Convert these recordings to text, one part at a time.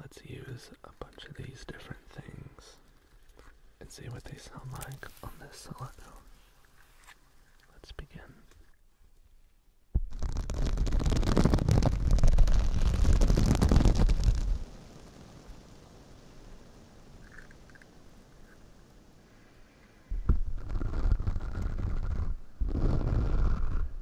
Let's use a bunch of these different things and see what they sound like on this cellophone. Let's begin.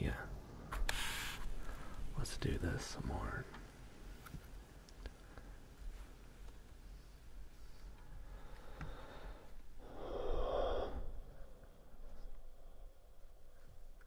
Yeah. Let's do this some more.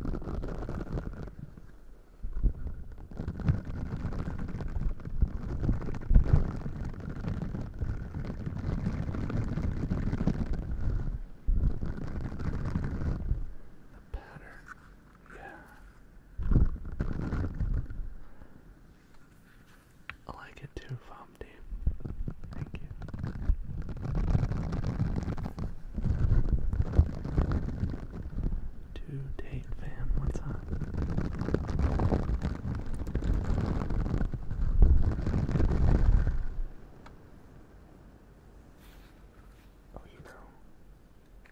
The pattern yeah. I like it too, Fomdi. Thank you. To date fan, what's up? Oh, you know,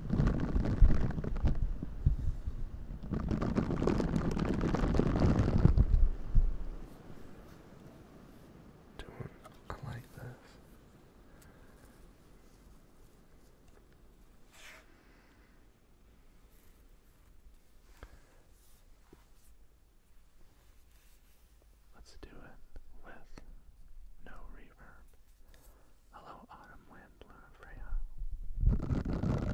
Doing, I like this. Let's do it with no reverb. Hello, Autumn Wind, Luna Freya.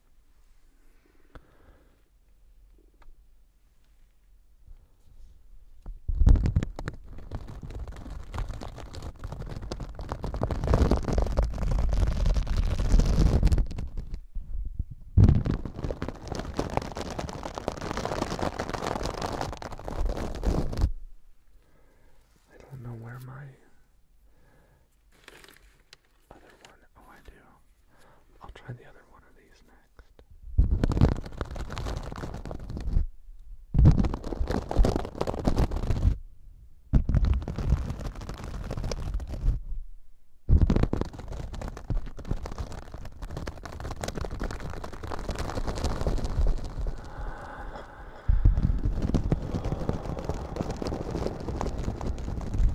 I don't know where my other one? Oh, I do. I'll try the other one of these next.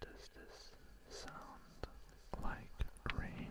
Does this sound like rain?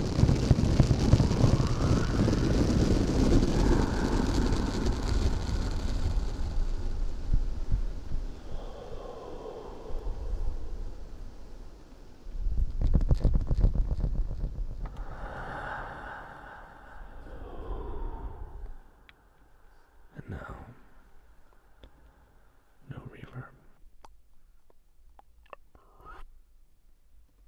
And now, no reverb.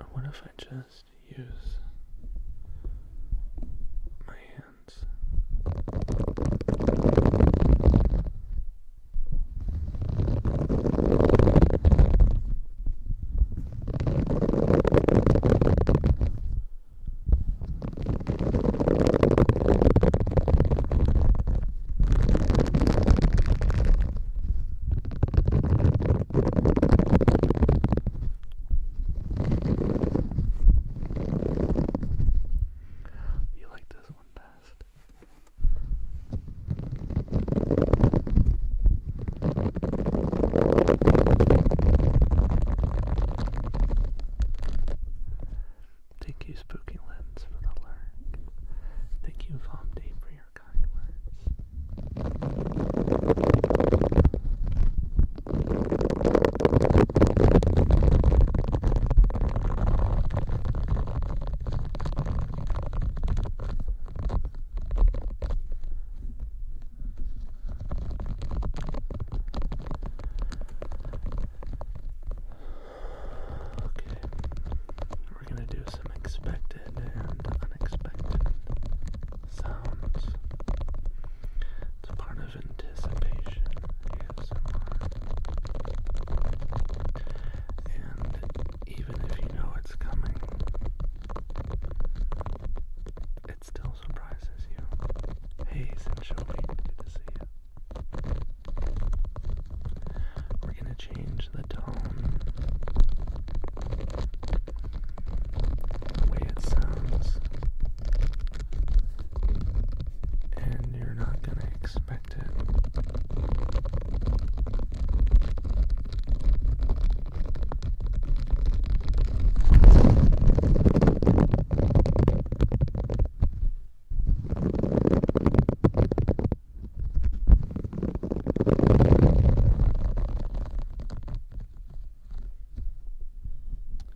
And what if I just use my hands. You like this one best. Thank you, Spooky Lens, for the lurk. Thank you, Vom for your kind words. Okay, we're going to do some expected and unexpected sounds. It's part of anticipation ASMR. And even if you know it's coming, it still surprises you. Hey, Sinchobi, good to see you. We're going to change the tone the way it sounds, and you're not going to expect it.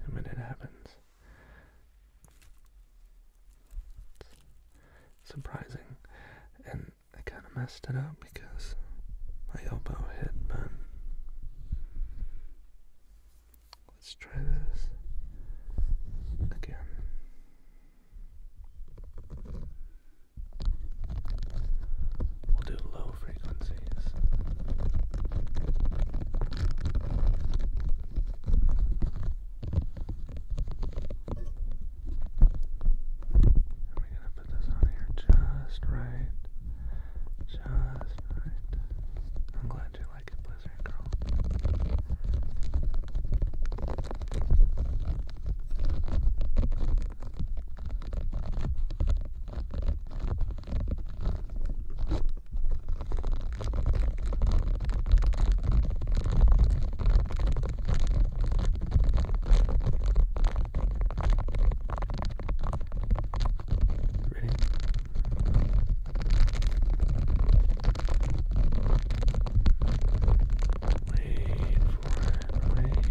And when it happens, surprising. And I kind of messed it up because my elbow hit, but let's try this again. We'll do low frequencies. we're gonna put this on here just right. Just right. I'm glad you like it, Blizzard Girl. Ready? Wait for waiting for it.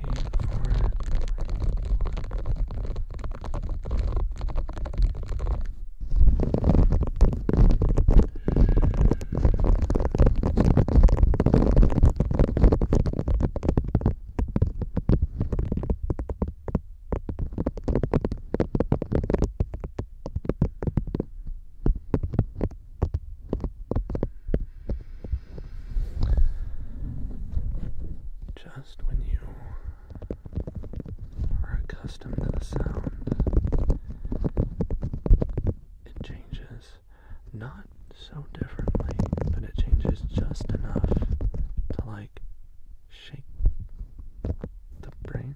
Just when you are accustomed to the sound, it changes not so differently, but it changes just enough to like shake the brain.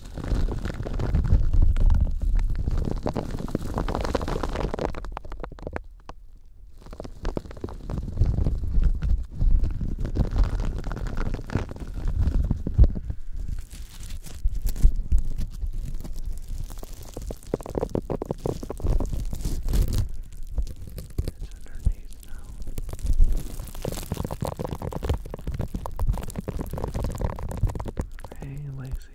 It's underneath now. Hey, Lacey,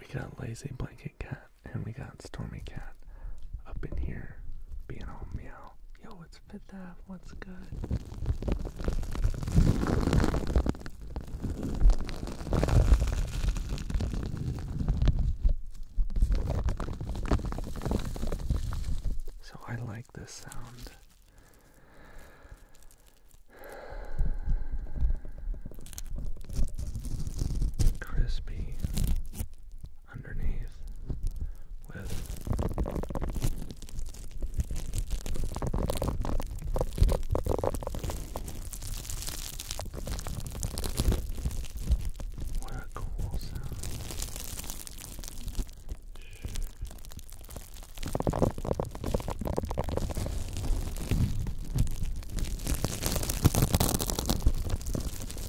we got lazy blanket cat and we got Stormy Cat up in here being all meow. Yo, it's Fifth Ave, what's good? So I like this sound. Crispy, underneath with what a cool sound. Shh.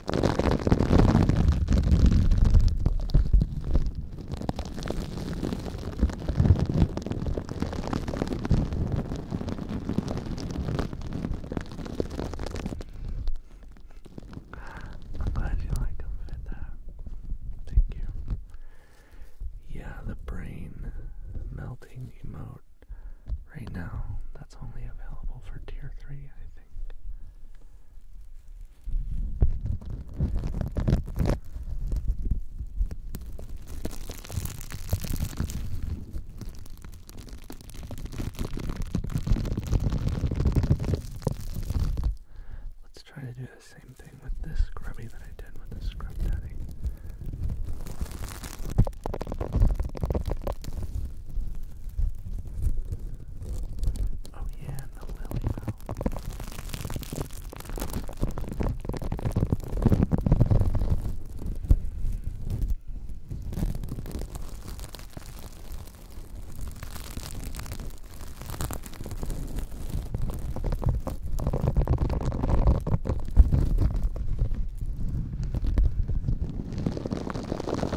I'm glad you like them, Thank you. Yeah, the brain melting emote right now that's only available for tier 3, I think. Let's try to do the same thing with this scrubby that I did with the scrub daddy. Oh yeah, and the lily bell.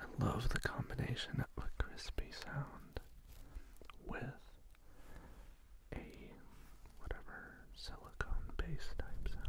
I love the combination of a crispy sound with a whatever silicone base type sound.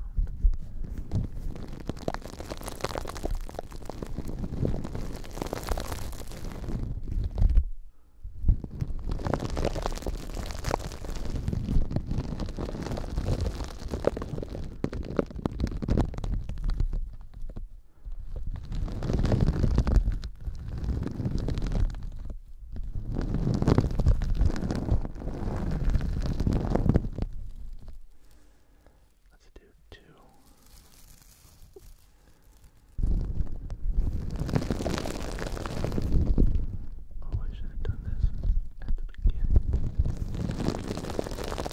Let's do two. Oh, I should have done this at the beginning.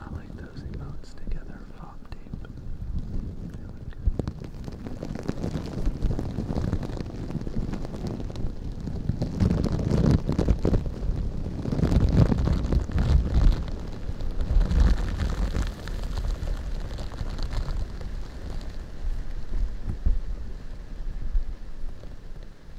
I like those emotes together, flop tape. They look good.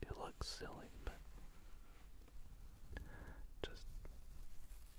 It looks silly, but just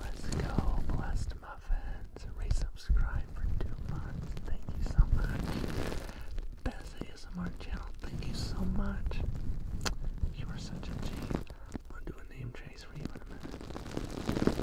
Let's go, blessed muffins. Resubscribe for two months. Thank you so much. Best ASMR channel. Thank you so much. You are such a G. I'll do a name trace for you in a minute.